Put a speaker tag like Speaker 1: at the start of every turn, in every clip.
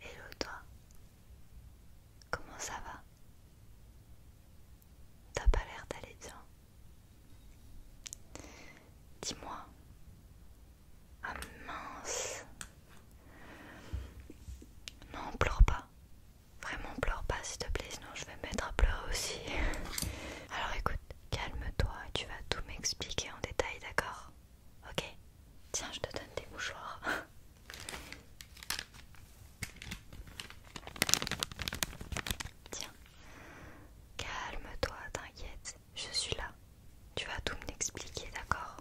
Speaker 1: Hello toi, comment ça va T'as pas l'air d'aller bien Dis-moi. Ah mince Non, pleure pas. Vraiment pleure pas s'il te plaît, sinon je vais me mettre à pleurer aussi. Alors écoute, calme-toi tu vas tout m'expliquer en détail, d'accord Ok, tiens, je te donne tes mouchoirs. tiens, calme-toi, t'inquiète, je suis là. Tu vas tout m'expliquer, d'accord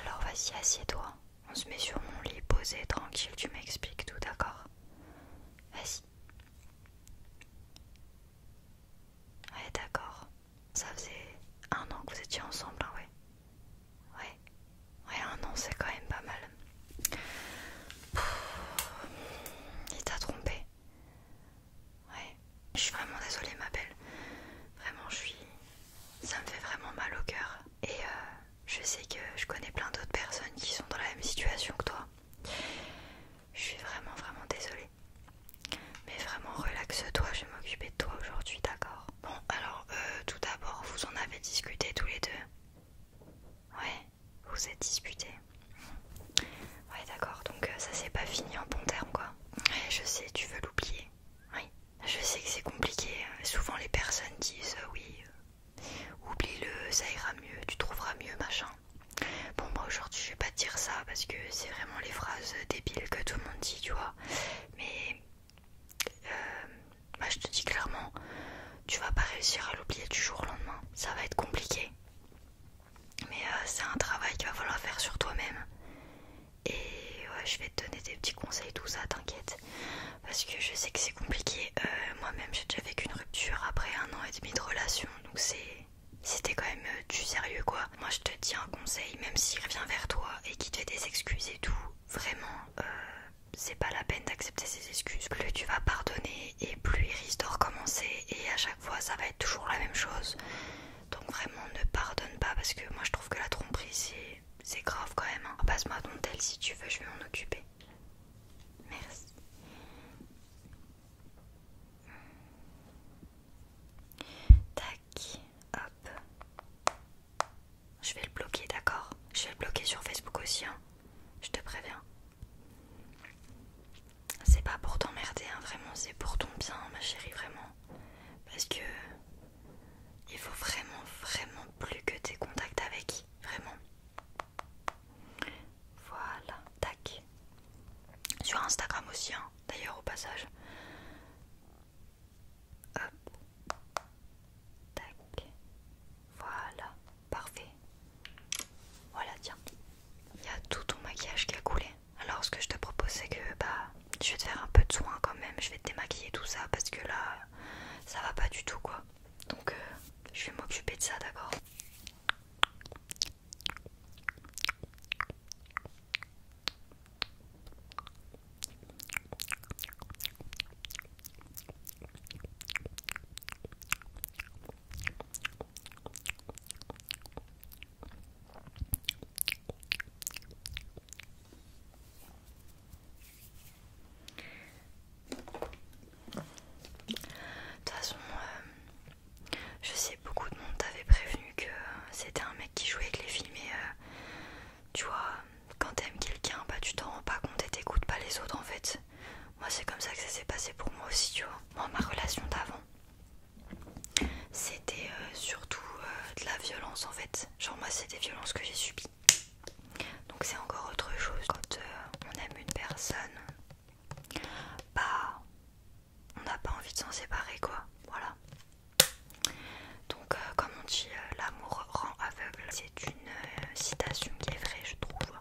Speaker 1: Alors vas-y, assieds-toi. On se met sur mon lit, posé, tranquille, tu m'expliques tout, d'accord Vas-y. Ouais, d'accord. Ça faisait un an que vous étiez ensemble, hein, ouais. Ouais, un an, c'est quand même pas mal. il t'a trompé. Ouais, je suis vraiment désolée, ma belle. Vraiment, je suis. Ça me fait vraiment mal au cœur. Et euh, je sais que je connais plein d'autres personnes qui sont dans la même situation que toi. Je suis vraiment, vraiment désolée. Mais vraiment, relaxe-toi, je vais m'occuper de toi aujourd'hui, d'accord Bon, alors, euh, tout d'abord, vous en avez discuté tous les deux Ouais, vous êtes disputés. Ouais, d'accord, donc euh, ça s'est pas fini en bon terme, quoi. Ouais, je sais, tu veux l'oublier. Oui, je sais que c'est compliqué. Hein. Souvent, les personnes disent euh, oui, oublie-le, ça ira mieux, tu trouveras mieux, machin. Bon, moi aujourd'hui, je vais pas dire ça parce que c'est vraiment les phrases débiles que tout le monde dit tu vois. Mais euh, je te dis clairement, tu vas pas réussir à l'oublier du jour au lendemain. Ça va être compliqué. Mais euh, c'est un travail qu'il va falloir faire sur toi-même. Et je vais te donner des petits conseils, tout ça, t'inquiète. Parce que je sais que c'est compliqué. Euh, moi-même, j'ai déjà vécu une rupture après un an et demi de relation. Donc c'est c'était quand même euh, du sérieux quoi. Moi je te dis un conseil, même s'il revient vers toi et qu'il te fait des excuses et tout, vraiment, euh, c'est pas la peine d'accepter ses excuses. Plus tu vas pardonner et plus il risque de recommencer et à chaque fois ça va être toujours la même chose. Donc vraiment ne pardonne pas parce que moi je trouve que la tromperie c'est grave quand même. Hein. Passe-moi ton tel si tu veux, je vais m'en occuper. Merci hop. Je vais le bloquer, d'accord Je vais le bloquer sur Facebook aussi, hein Je te préviens. C'est pas pour t'emmerder, hein, vraiment, c'est pour ton bien, ma chérie, vraiment. Parce que il faut vraiment, vraiment plus que tes contacts avec, vraiment. Voilà, tac. Sur Instagram aussi, hein d'ailleurs au passage. Hop. Tac. Voilà. Parfait. Voilà, tiens. Il y a tout ton maquillage qui a coulé. Alors ce que je te propose c'est que bah je vais te faire un peu de soin quand même. Je vais te démaquiller tout ça parce que là ça va pas du tout quoi. Donc euh, je vais m'occuper de ça d'accord de toute façon, euh, je sais, beaucoup de monde t'avait prévenu que c'était un mec qui jouait avec les filles, mais euh, tu vois, quand t'aimes quelqu'un, bah tu t'en rends pas compte et t'écoutes pas les autres en fait. Moi, c'est comme ça que ça s'est passé pour moi aussi, tu vois. Moi, ma relation d'avant, c'était euh, surtout euh, de la violence en fait. Genre, moi, c'est des violences que j'ai subies. Donc, c'est encore autre chose. Quand on aime une personne, bah on n'a pas envie de s'en séparer quoi, voilà. Donc euh, comme on dit, euh, l'amour rend aveugle. C'est une euh, citation qui est vraie je trouve.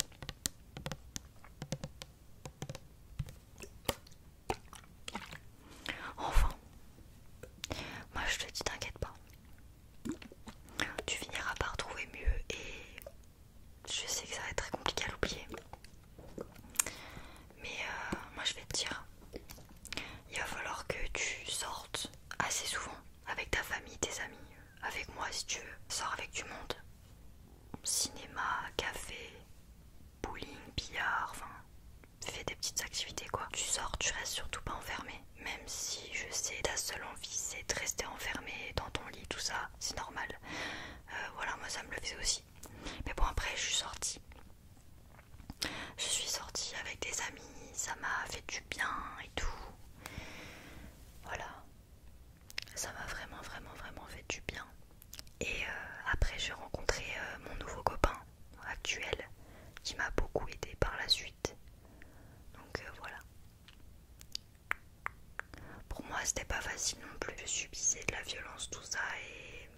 Speaker 1: Enfin, moi je te dis t'inquiète pas. Tu finiras par trouver mieux et je sais que ça va être très compliqué à l'oublier. Mais euh, moi je vais te dire, il va falloir que tu sortes assez souvent avec ta famille, tes amis, avec moi si tu veux. Sors avec du monde. Cinéma, café, bowling, billard, enfin fais des petites activités quoi. Tu sors, tu restes surtout pas enfermé. Même si je sais ta seule envie c'est de rester enfermé dans ton lit, tout ça, c'est normal. Euh, voilà, moi ça me le faisait aussi. Mais bon après je suis sortie. Je suis sortie avec des amis, ça m'a fait du bien et tout. Voilà. Ça m'a vraiment, vraiment, vraiment fait du bien. Et euh, après, j'ai rencontré euh, mon nouveau copain actuel qui m'a beaucoup aidé par la suite. Donc euh, voilà. Pour moi, c'était pas facile non plus. de subissais de la violence, tout ça, et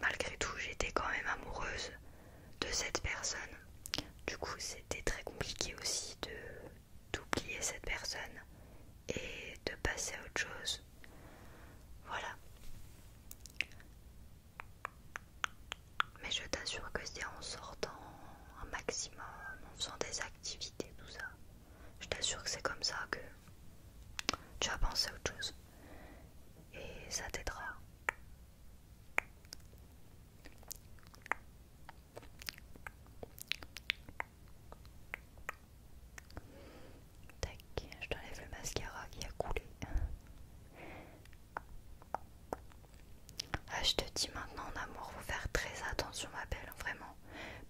Speaker 1: malgré tout, j'étais quand même amoureuse de cette personne. Du coup, c'était très compliqué aussi de d'oublier cette personne et de passer à autre chose. Voilà. Mais je t'assure que c'est en sortant un maximum, en faisant des activités, tout ça. Je t'assure que c'est comme ça que tu vas penser à autre chose et ça t'aidera. Tac, je t'enlève le mascara qui a coulé. Ah, je te dis maintenant en amour, faut faire très attention ma belle, vraiment.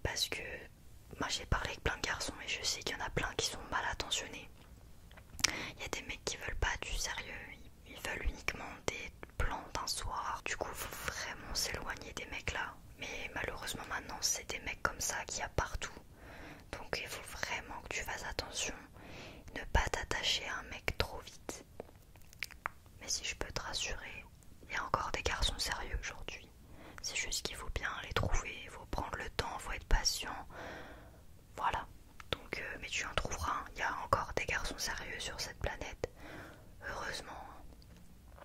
Speaker 1: Parce que moi j'ai parlé avec plein de garçons et je sais qu'il y en a plein qui sont mal attentionnés. Il y a des mecs qui veulent pas du sérieux, ils veulent uniquement des plans d'un soir. Du coup, il faut vraiment s'éloigner des mecs là. Mais malheureusement maintenant, c'est des mecs comme ça qui y a partout. Donc il faut vraiment que tu fasses attention, ne pas t'attacher à un mec trop vite. Mais si je peux te rassurer, il y a encore des garçons sérieux aujourd'hui. C'est juste qu'il faut bien les trouver, il faut prendre le temps, il faut être patient. Voilà. Donc, euh, mais tu en trouveras. Il y a encore des garçons sérieux sur cette planète. Heureusement. Hein.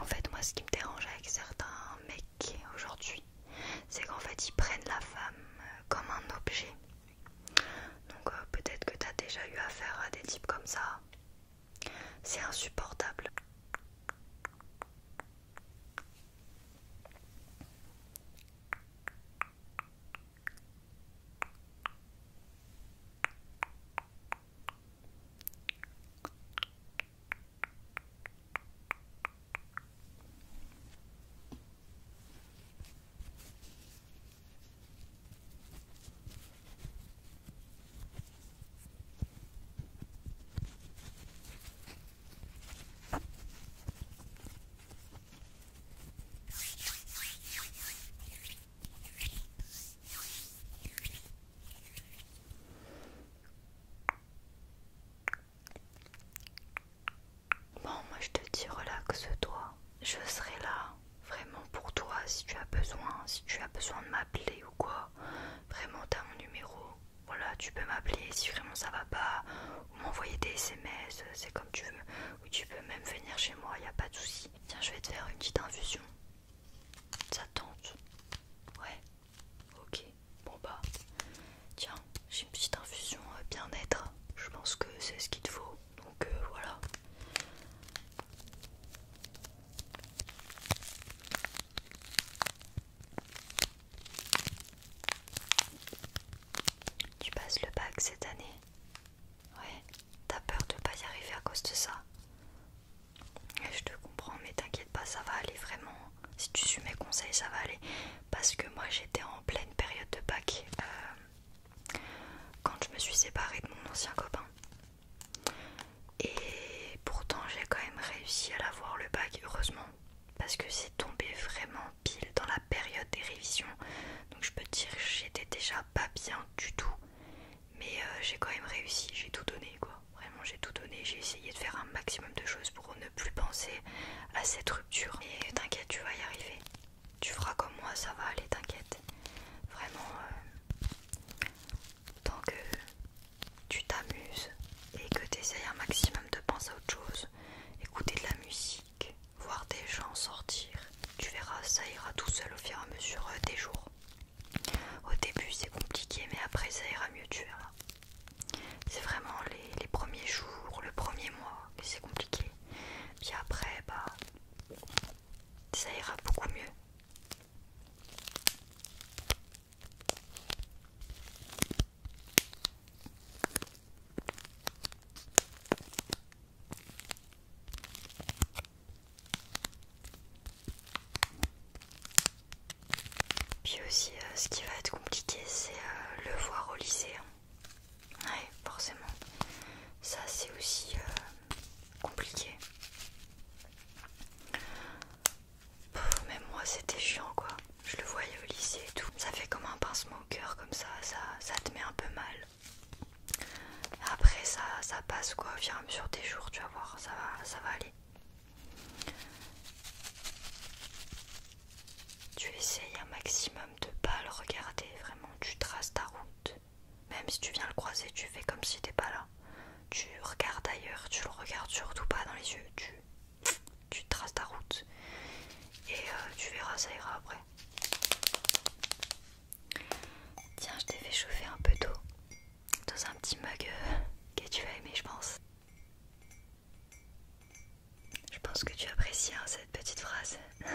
Speaker 1: En fait, moi, ce qui me dérange avec certains mecs aujourd'hui, c'est qu'en fait, ils prennent la femme euh, comme un objet. Donc, euh, peut-être que tu as déjà eu affaire à des types comme ça. C'est insupportable. Bon, moi je te dis relaxe-toi, je serai là vraiment pour toi si tu as besoin, si tu as besoin de m'appeler ou quoi, vraiment t'as mon numéro, voilà tu peux m'appeler si vraiment ça va pas, ou m'envoyer des SMS, c'est comme tu veux, ou tu peux même venir chez moi, y a pas de souci. Tiens je vais te faire une petite infusion. Ça tente Ouais, ok, bon bah tiens, j'ai une petite infusion euh, bien-être, je pense que c'est ce qu'il te faut. Donc euh, voilà. Tu passes le bac cette année Ouais, t'as peur de pas y arriver à cause de ça Je te comprends, mais t'inquiète pas, ça va aller vraiment. Si tu suis mes conseils, ça va aller. Parce que moi j'étais en pleine période de bac euh, quand je me suis séparée de mon ancien copain. Et pourtant j'ai quand même réussi à l'avoir le bac, heureusement, parce que c'est tombé vraiment pile dans la période des révisions. Donc je peux te dire j'étais déjà pas bien du tout. Mais euh, j'ai quand même réussi, j'ai tout donné quoi. Vraiment j'ai tout donné, j'ai essayé de faire un maximum de choses pour ne plus penser à cette rupture. Et t'inquiète, tu vas y arriver. Tu feras comme moi, ça va aller, t'inquiète. Vraiment, euh, tant que euh, tu t'amuses et que tu essaies un maximum de penser à autre chose, écouter de la musique, voir des gens sortir, tu verras, ça ira tout seul au fur et à mesure euh, des jours. Au début c'est compliqué mais après ça ira mieux, tu verras. C'est vraiment les, les premiers jours, le premier mois que c'est compliqué. Puis après, bah ça ira beaucoup mieux. Puis aussi, euh, ce qui va être compliqué, c'est euh, le voir au lycée. Hein. Ouais, forcément. Ça, c'est aussi euh, compliqué. Mais moi c'était chiant quoi. Je le voyais au lycée et tout. Ça fait comme un pincement au cœur comme ça, ça, ça te met un peu mal. Après ça, ça passe quoi au sur et à des jours, tu vas voir, ça va, ça va aller. Tu essayes un maximum de pas le regarder, vraiment, tu traces ta route. Même si tu viens le croiser, tu fais comme si t'es pas là. Tu regardes ailleurs, tu le regardes surtout pas dans les yeux. Tu, tu traces ta route et euh, tu verras, ça ira après. Tiens, je t'ai fait chauffer un peu d'eau dans un petit mug euh, que tu as aimé, je pense. Je pense que tu apprécies hein, cette petite phrase.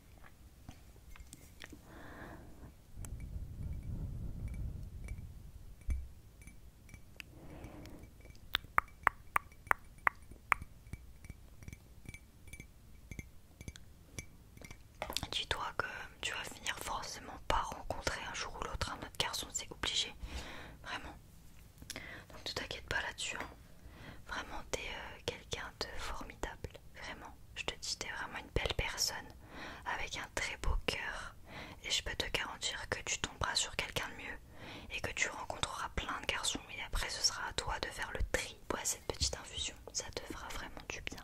Speaker 1: Dis-toi que tu vas finir forcément par rencontrer un jour ou l'autre un autre garçon, c'est obligé, vraiment. Donc ne t'inquiète pas là-dessus. Hein. Vraiment, t'es euh, quelqu'un de formidable, vraiment. Je te dis, t'es vraiment une belle personne, avec un très beau cœur. Et je peux te garantir que tu tomberas sur quelqu'un de mieux et que tu rencontreras plein de garçons. Et après, ce sera à toi de faire le tri. Bois cette petite infusion, ça te fera vraiment du bien.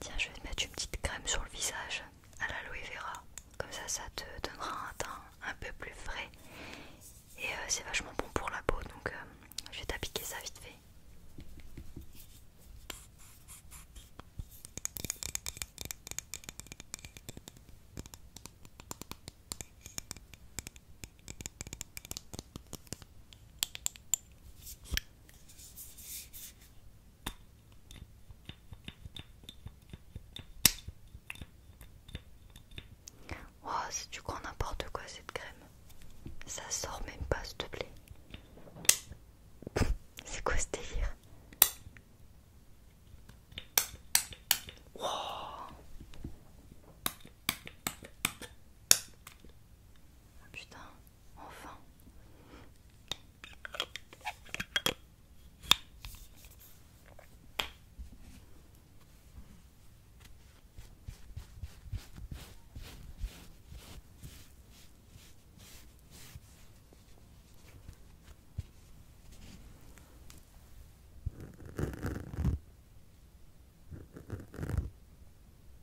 Speaker 1: Tiens, je vais te mettre une petite crème sur le visage à l'aloe vera. Comme ça, ça te donnera un teint un peu plus frais. Et euh, c'est vachement bon pour la peau, donc euh, je vais t'appliquer ça vite fait. Wow, c'est du grand n'importe quoi cette crème. Ça sort même pas, s'il te plaît. C'est quoi ce délire ah, putain, enfin.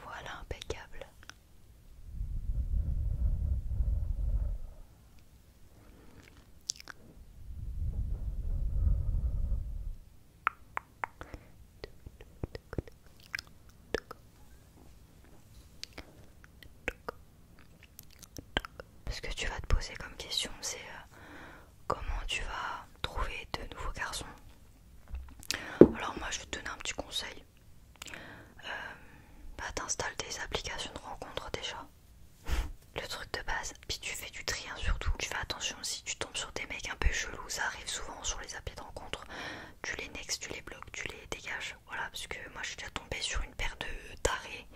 Speaker 1: Voilà, impeccable. Ce que tu vas te poser comme question, c'est euh, comment tu vas trouver de nouveaux garçons. Alors moi je vais te donner un petit conseil. Euh, bah t'installes des applications de rencontre déjà. Le truc de base, puis tu fais du tri hein, surtout. Tu fais attention si tu tombes sur des mecs un peu chelous, ça arrive souvent sur les applis de rencontre tu les nexes, tu les bloques, tu les dégages. Voilà, parce que moi je suis déjà tombée sur une paire de tarés.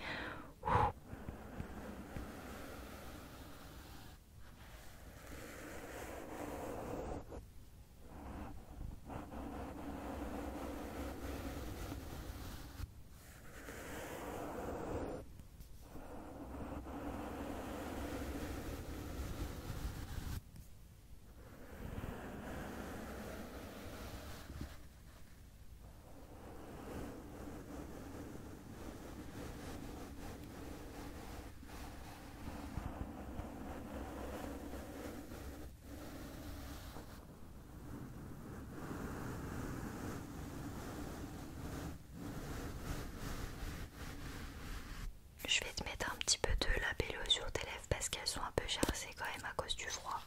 Speaker 1: Je vais te mettre un petit peu de labello sur tes parce qu'elles sont un peu c'est quand même à cause du froid.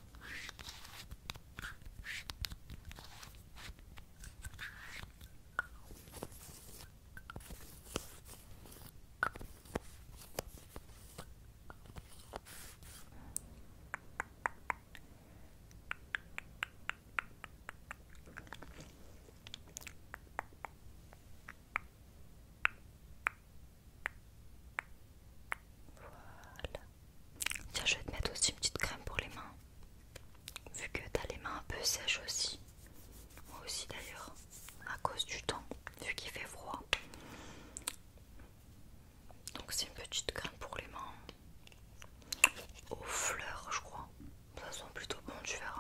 Speaker 1: Voilà. Tiens, je vais te mettre aussi une petite crème pour les mains. Vu que t'as les mains un peu sèches aussi. Moi aussi d'ailleurs. À cause du temps. Vu qu'il fait froid. Donc c'est une petite crème pour les mains. Aux fleurs, je crois. Ça sent plutôt bon, tu verras.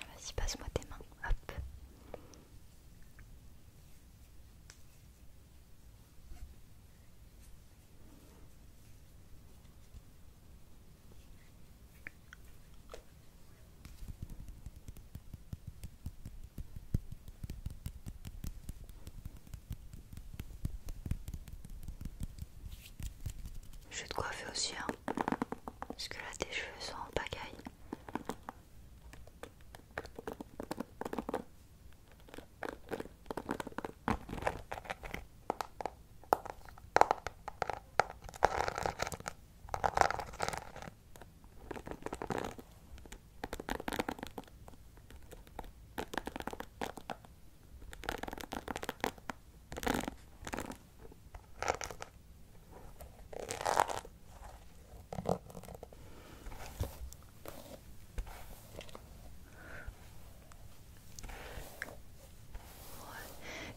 Speaker 1: Vas-y, passe-moi tes mains. Hop. Je vais te coiffer aussi, hein. Est-ce que là tes cheveux sont en pagaille.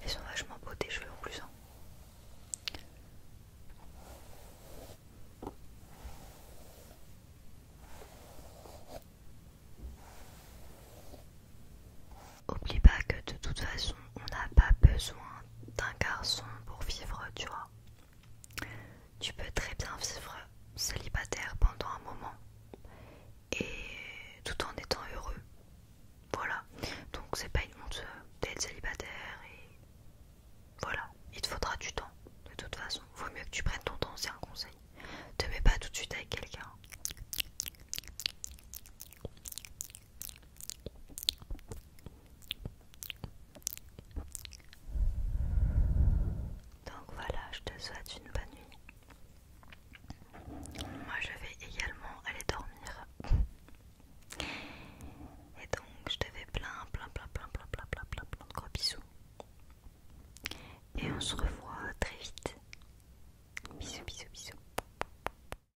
Speaker 1: Ils sont vachement beaux tes cheveux en plus. Hein. Oublie pas que de toute façon, on n'a pas besoin d'un garçon pour vivre, tu vois. Tu peux très bien vivre célibataire pendant un moment et tout en étant heureux. Voilà. Donc c'est pas une honte euh, d'être célibataire et voilà, il te faudra du temps. De toute façon, vaut mieux que tu prennes ton temps, c'est un conseil. Te mets pas tout de suite avec quelqu'un. Donc voilà, je te souhaite une bonne nuit. Moi je vais également aller dormir. Et donc je te fais plein plein plein plein plein plein plein plein plein de gros bisous. Et on se revoit très vite. Bisous bisous bisous.